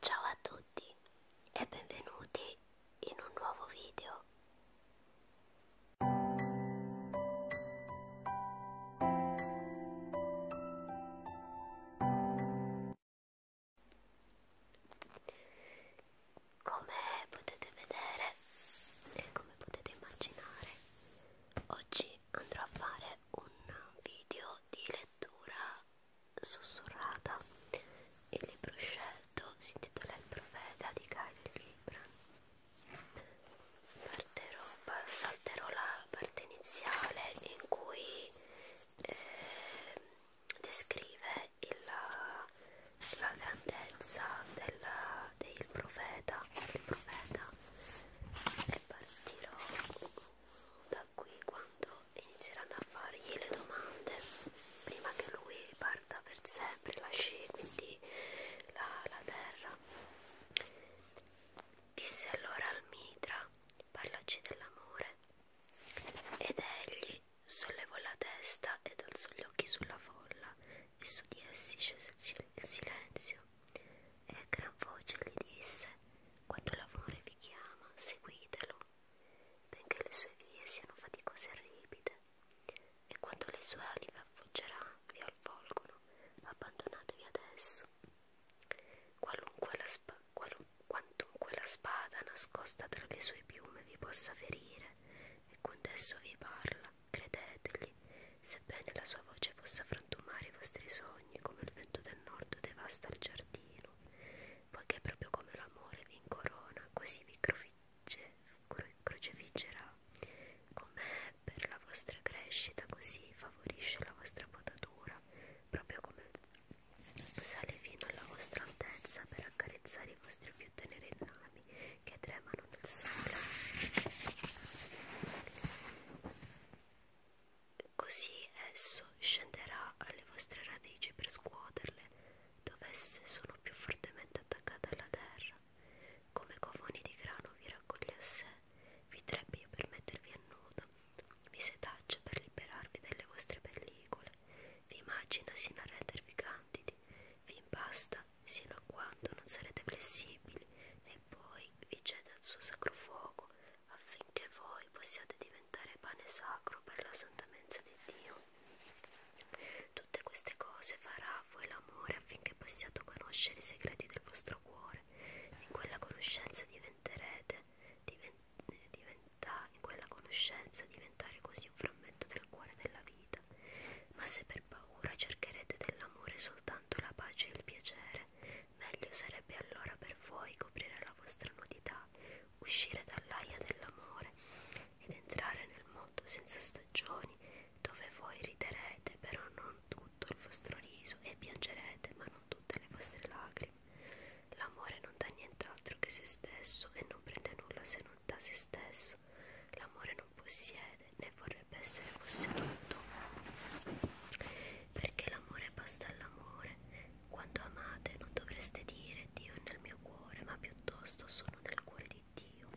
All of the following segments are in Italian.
Ciao a tutti e benvenuti in un nuovo video. Come potete vedere e come potete immaginare, oggi andrò a fare un video di lettura sussurrata. Il libro scelto si intitola Il profeta di Cairo Libra. Parterò, salterò la parte iniziale in cui eh, descrive il, la grandezza della, del profeta, del profeta e partirò da da qui quando inizieranno a fargli le domande prima che lui parta per sempre lasci quindi la, la terra disse allora al mitra parlaci dell'amore ed egli sollevò la testa ed alzò gli occhi sulla folla e su di essi scese il silenzio e a gran voce gli disse quando l'amore vi chiama seguitelo benché le sue vie siano faticose e ripide, e quando le sue ali vi avvolgeranno, vi avvolgono, abbandonatevi ad esso. Qualunque la, spa, qualu, quantunque la spada nascosta tra le sue piume vi possa ferire, e quando esso vi parla, credetegli, sebbene la sua voce possa frantumare i vostri sogni come il vento del nord devasta il giardino, poiché proprio come l'amore vi incorona, così vi cro crocefiggerà con me per la vostra crescita, così favorisce la vostra potatura, proprio come sale fino alla vostra altezza per accarezzare i vostri più teneri rami che tremano nel sole così esso scenderà alle vostre radici per scuoterle, dovesse sono più fortemente attaccate alla terra, come covoni di grano vi raccoglie a sé, vi trebbie per mettervi a nudo, vi setaccia per liberarvi delle vostre pellicole, vi immagina sino a rendervi candidi, vi impasta sino a quando non sarete flessibili e poi vi cede al suo sacro fuoco affinché voi possiate diventare pane sacro per la santa mensa di Dio. Tutte queste cose farà a voi l'amore affinché possiate conoscere i segreti del vostro cuore. In quella conoscenza diventerete, divent, diventa, in quella conoscenza diventare così un frammento del cuore della vita. Ma se per paura cercherete dell'amore soltanto la pace e il piacere, Meglio sarebbe allora per voi coprire la vostra nudità, uscire dall'aia dell'amore ed entrare nel mondo senza stagioni, dove voi riderete però non tutto il vostro riso e piangerete ma non tutte le vostre lacrime. L'amore non dà nient'altro che se stesso e non prende nulla se non da se stesso. L'amore non possiede né vorrebbe essere posseduto. Perché l'amore basta all'amore, quando amate non dovreste dire Dio è nel mio cuore, ma piuttosto sono nel cuore di Dio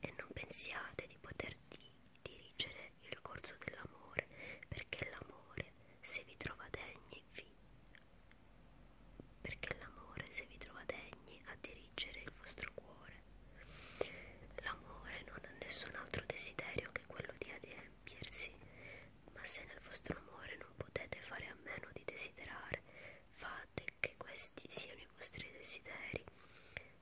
e non pensiate di poter di dirigere il corso dell'amore, perché l'amore se vi trova degni vi perché l'amore se vi trova degni a dirigere il vostro cuore. L'amore non ha nessun altro desiderio che quello di adempiersi ma se nel vostro amore non potete fare a meno di desiderare, fate che questi siano i vostri desideri,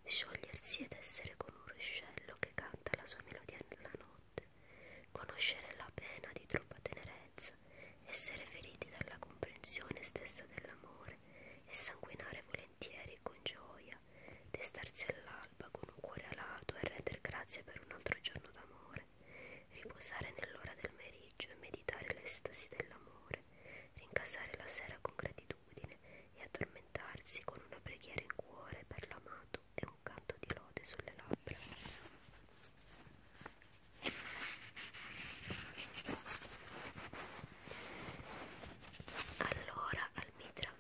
sciogliersi ed essere con un ruscello che canta la sua melodia nella notte, conoscere la pena di troppa tenerezza, essere feriti dalla comprensione stessa dell'amore e sanguinare volentieri con gioia, destarsi all'alba con un cuore alato e render grazie per un altro giorno d'amore dolore, riposare nell'ora del meriggio e meditare l'estasi dell'amore, rincasare la sera con gratitudine e addormentarsi con una preghiera in cuore per l'amato e un canto di lode sulle labbra. Allora Almitra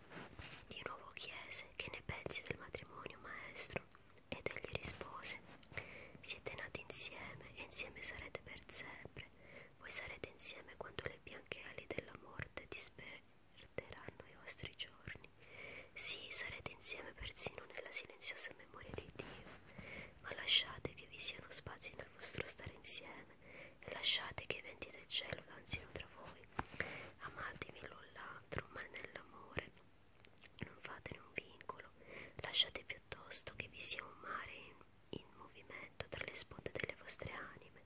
di nuovo chiese che ne pensi del matrimonio maestro ed egli rispose, siete nati insieme e insieme sarete per sempre, voi sarete insieme quando le bianche ali della morte disperderanno i vostri giorni. Sì, sarete insieme persino nella silenziosa memoria di Dio, ma lasciate che vi siano spazi nel vostro stare insieme e lasciate che i venti del cielo danzino tra voi. Amatevi l'un l'altro, ma nell'amore non fatene un vincolo, lasciate piuttosto che vi sia un mare in, in movimento tra le sponde delle vostre anime,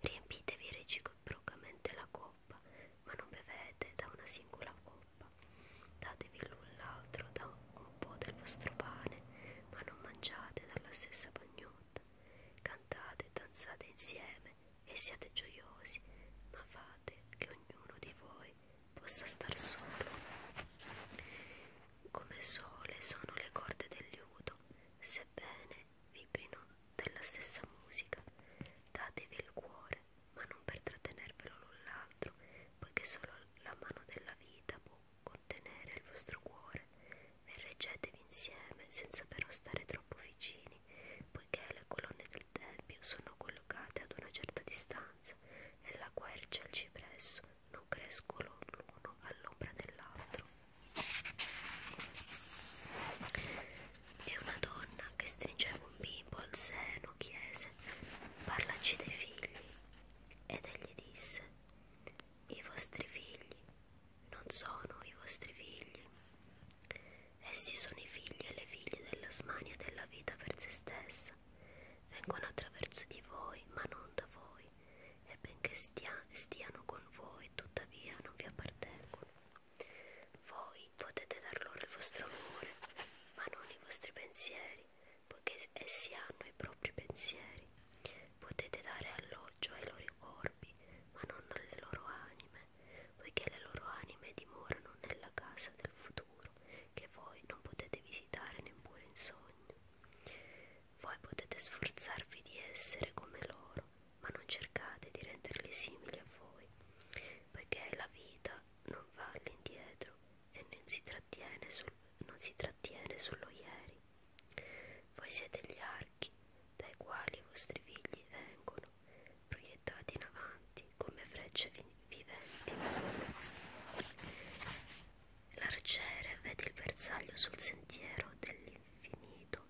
riempitevi reciprocamente la coppa, ma non bevete da una singola coppa, datevi l'un l'altro da un po' del vostro pane, ma non mangiate dalla stessa bagnotta, cantate e danzate insieme, e siate gioiosi, ma fate che ognuno di voi possa star solo. Come sole sono le corde del liuto, sebbene vibrino della stessa musica. Datevi il cuore, ma non per trattenervelo l'un l'altro, poiché solo la mano della vita può contenere il vostro cuore e reggetevi insieme senza però stare troppo vicini lontani, poiché le colonne del tempio sono collocate ad una certa distanza e la quercia e il cipresso non crescono l'uno all'ombra dell'altro. E una donna che stringeva un bimbo al seno chiese: Parlaci dei figli. Ed egli disse: I vostri figli non sono i vostri figli. Essi sono i figli e le figlie della smania della vita per se stessa. Vengono attraverso di voi, ma non da voi, e benché stia, stiano con voi, tuttavia non vi appartengono. Voi potete dar loro il vostro amore, ma non i vostri pensieri, poiché essi hanno i propri pensieri. Potete dare alloggio ai loro corpi, ma non alle loro anime poiché le loro anime dimorano nella casa del futuro che voi non potete visitare neppure in sogno. Voi potete sforzarvi di essere come loro, ma non cercate di renderli simili a voi, poiché la vita non va all'indietro e non si trattiene, sul, non si trattiene sullo ieri. Voi siete gli archi dai quali i vostri figli vengono lontano, proiettati in avanti come frecce viventi. L'arciere vede il bersaglio sul sentiero dell'infinito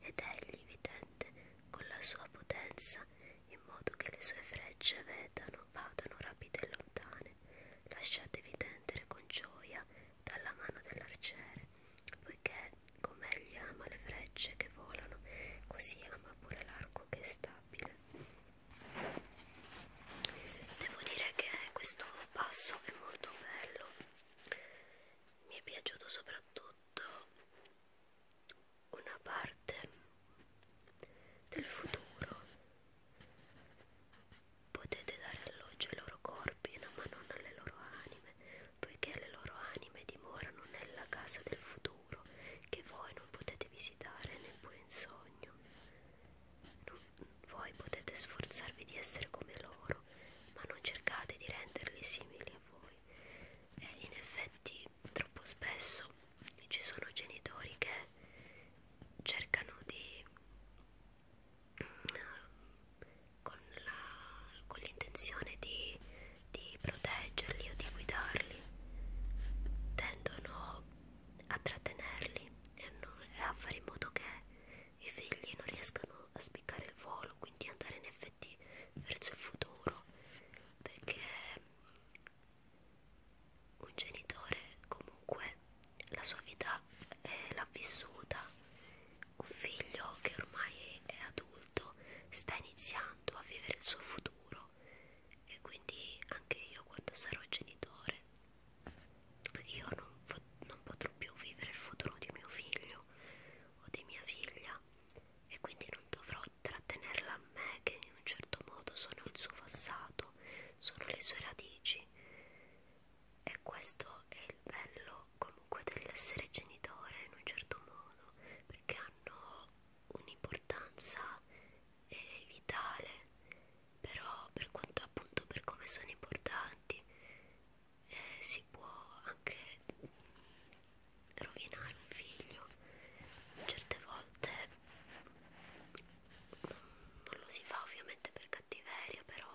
ed egli vi tende con la sua potenza in modo che le sue frecce vedano, vadano rapide e lontane. Lasciatevi tendere con gioia dalla mano dell'arciere, poiché come egli ama le frecce che volano, così ma pure l'arco che è stabile devo dire che questo passo è molto bello mi è piaciuto soprattutto una parte del futuro potete dare alloggio ai loro corpi no? ma non alle loro anime poiché le loro anime dimorano nella casa del futuro muro che voi non potete visitare neppure in sogno. Non, voi potete sforzarvi di essere come loro, ma non cercate di renderli simili a voi. E in effetti, troppo spesso ci sono genitori che cercano di mm, con l'intenzione di di proteggerli o di guidarli, tendono a trattenerli e, non, e a fare in modo che i figli non riescano a spiccare il volo, quindi andare in effetti verso il futuro, perché un genitore comunque la sua vita eh, l'ha vissuta, un figlio che ormai è adulto sta iniziando a vivere il suo futuro farò e quindi anche io quando sarò genitore io non, non potrò più vivere il futuro di mio figlio o di mia figlia e quindi non dovrò trattenerla a me che in un certo modo sono il suo passato, sono le sue radici e questo è il bello comunque dell'essere genitore in un certo modo perché hanno un'importanza eh, vitale però per quanto appunto per come sono importanti eh, si può anche rovinare un figlio certe volte non lo si fa ovviamente per cattiveria però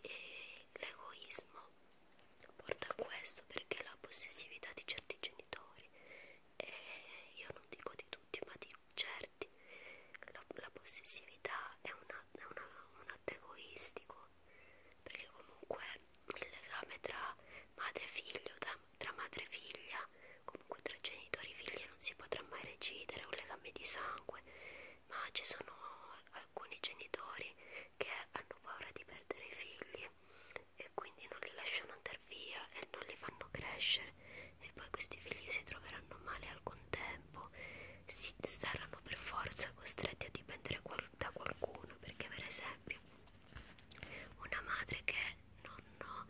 eh, l'egoismo porta a questo perché la possessività di certi genitori e io non dico di tutti ma di certi la, la possessività è, una, è una, un atto egoistico perché comunque il legame tra madre e figlio tra, tra madre e figlia comunque tra genitori e figli non si potrà mai recidere è un legame di sangue ma ci sono alcuni genitori che hanno paura di perdere i figli e quindi non li lasciano andare via e non li fanno crescere e poi questi figli si troveranno male al contempo, si saranno per forza costretti a dipendere qual da qualcuno perché per esempio una madre che non no,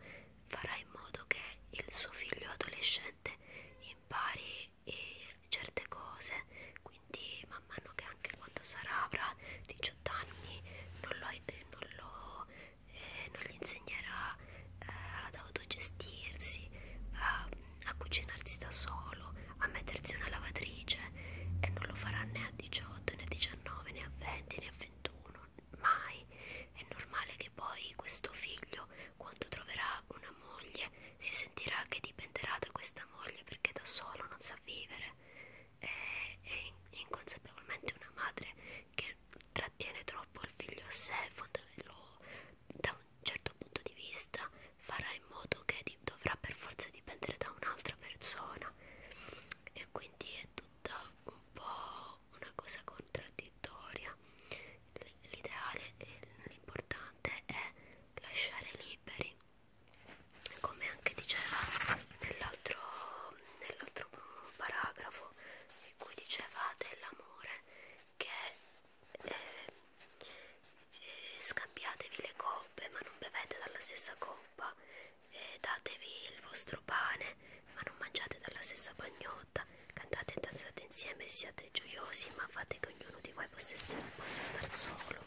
farà in modo che il suo figlio adolescente impari e eh, certe cose, quindi man mano che anche quando sarà avrà 18 anni non lo, eh, non, lo eh, non gli insegnerà eh, ad autogestirsi a, a cucinarsi da solo a mettersi una lavatrice e non lo farà né a 18 né a 19 né a 20 né a 21 mai è normale che poi questo figlio quando troverà una moglie si sentirà che dipenderà da questa moglie perché da solo non sa vivere è, è inconsapevolmente una madre che trattiene troppo il figlio a sé, lo, da un certo punto di vista farà in modo che di, dovrà per forza dipendere da un'altra persona e quindi è tutta un po' una cosa contraddittoria. L'ideale e l'importante è lasciare liberi come anche diceva nell'altro nell'altro paragrafo in cui diceva dell'amore che eh, eh, scambiatevi le coppe ma non bevete dalla stessa coppa eh, datevi il vostro pane ma non mangiate dalla stessa bagnotta cantate e danzate insieme e siate gioiosi ma fate che ognuno di voi possa, essere, possa star solo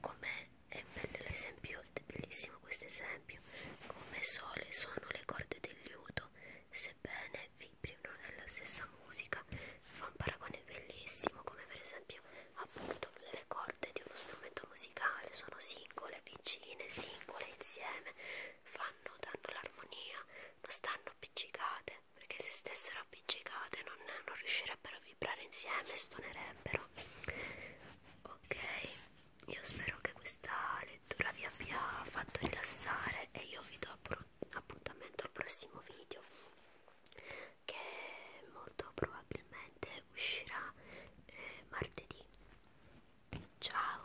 come è bello l'esempio, è bellissimo questo esempio. Come sole sono le corde del liuto, sebbene vibrino nella stessa musica. Fa un paragone bellissimo, come per esempio appunto le corde di uno strumento musicale sono singole, vicine, singole, insieme, fanno, danno l'armonia, non stanno appiccicate, perché se stessero appiccicate non, non riuscirebbero ad vibrare insieme stonerebbero ok io spero che questa lettura vi abbia fatto rilassare e io vi do appuntamento al prossimo video che molto probabilmente uscirà eh, martedì ciao